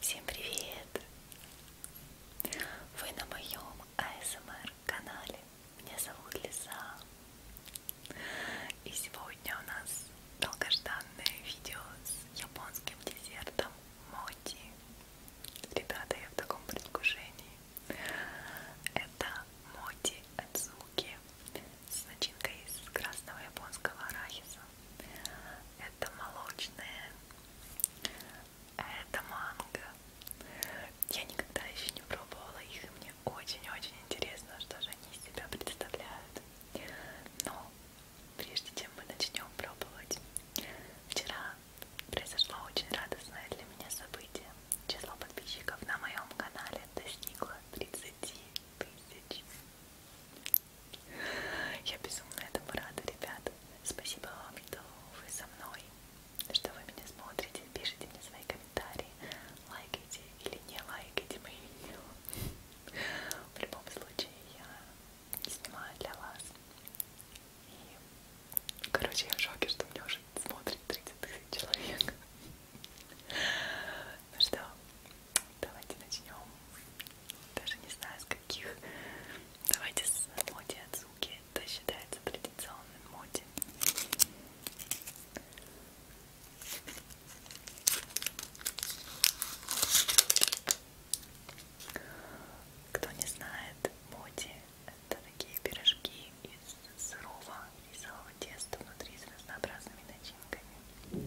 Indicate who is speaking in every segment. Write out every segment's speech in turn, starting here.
Speaker 1: Всем привет! Вы на моем АСМР канале. Меня зовут Лиза. И сегодня у нас долгожданное видео с японским десертом моти. Ребята, я в таком предвкушении. Это моти Адзуки с начинкой из красного японского арахиса. Это молочное, а это манго. Я никогда еще не пробовала их, и мне очень-очень интересно, что же они из себя представляют. Но прежде чем мы начнем пробовать, вчера произошло очень радостное для меня событие. Число подписчиков на моем канале достигло 30 тысяч. Я безумно этому рада, ребята. Спасибо вам, что вы со мной что вы меня смотрите, пишите мне свои комментарии, лайкайте или не лайкайте мои видео. В любом случае, я снимаю для вас. И, короче, я в шоке, что меня уже смотрит 30 тысяч человек. Ну что, давайте начнем. Даже не знаю, с каких. Давайте с Моти Ацуки. Это считается предельно традиционной моде. Кто не знает, моди это такие пирожки из сырого рисового теста внутри с разнообразными начинками.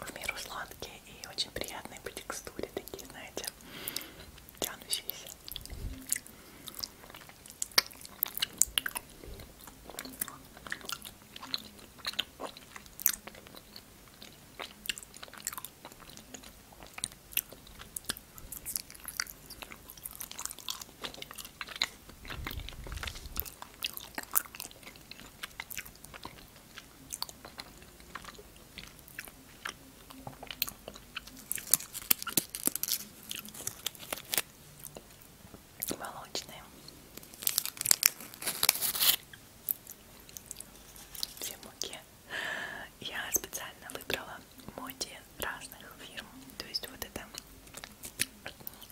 Speaker 1: В меру сладкие и очень приятные по текстуре, такие, знаете, тянущиеся. Молочные. Все муки я специально выбрала моди разных фирм. То есть вот это,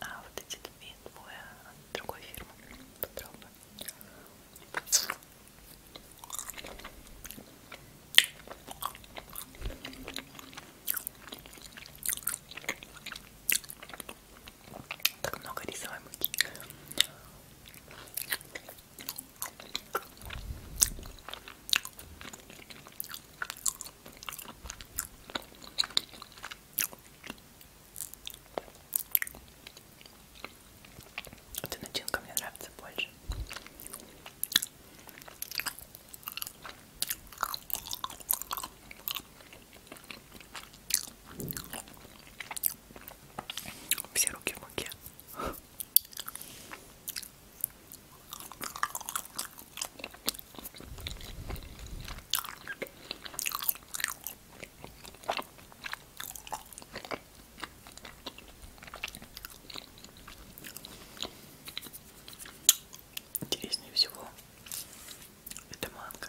Speaker 1: а вот эти две, двое другой фирмы. Попробуем. Как много рисовой муки. Эта начинка мне нравится больше. Все руки в муке. Интереснее всего это манго.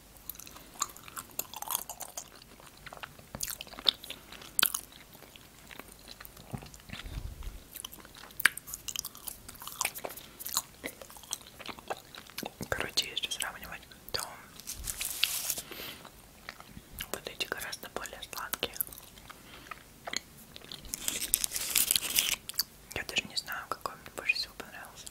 Speaker 1: Короче, если сравнивать, то вот эти гораздо более сладкие. Я даже не знаю, какой мне больше всего понравился.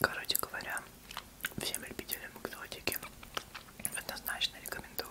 Speaker 1: Короче говоря, всем любителям экзотики однозначно рекомендую.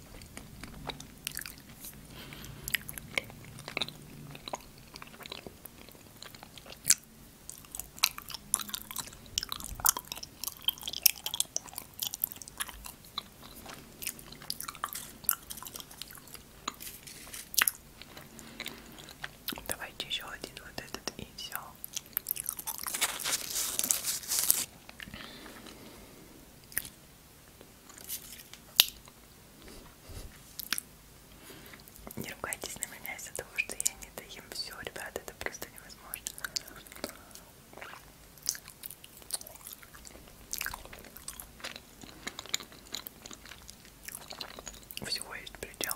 Speaker 1: Давайте еще один вот этот и все. Не ругайтесь на меня из-за того, что я не доем все, ребят, это просто невозможно. Всего есть предел.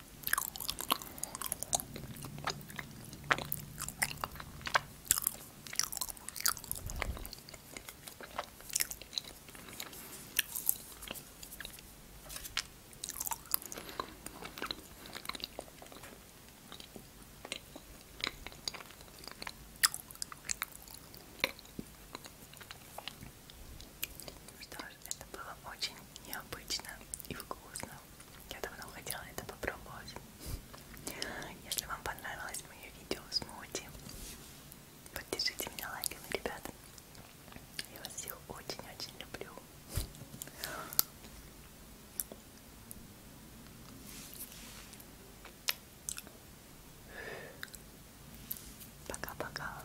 Speaker 1: Что ж, это было очень необычно и вкусно. Я давно хотела это попробовать. Если вам понравилось мое видео смузи, поддержите меня лайками, ребята. Я вас всех очень-очень люблю. Пока-пока.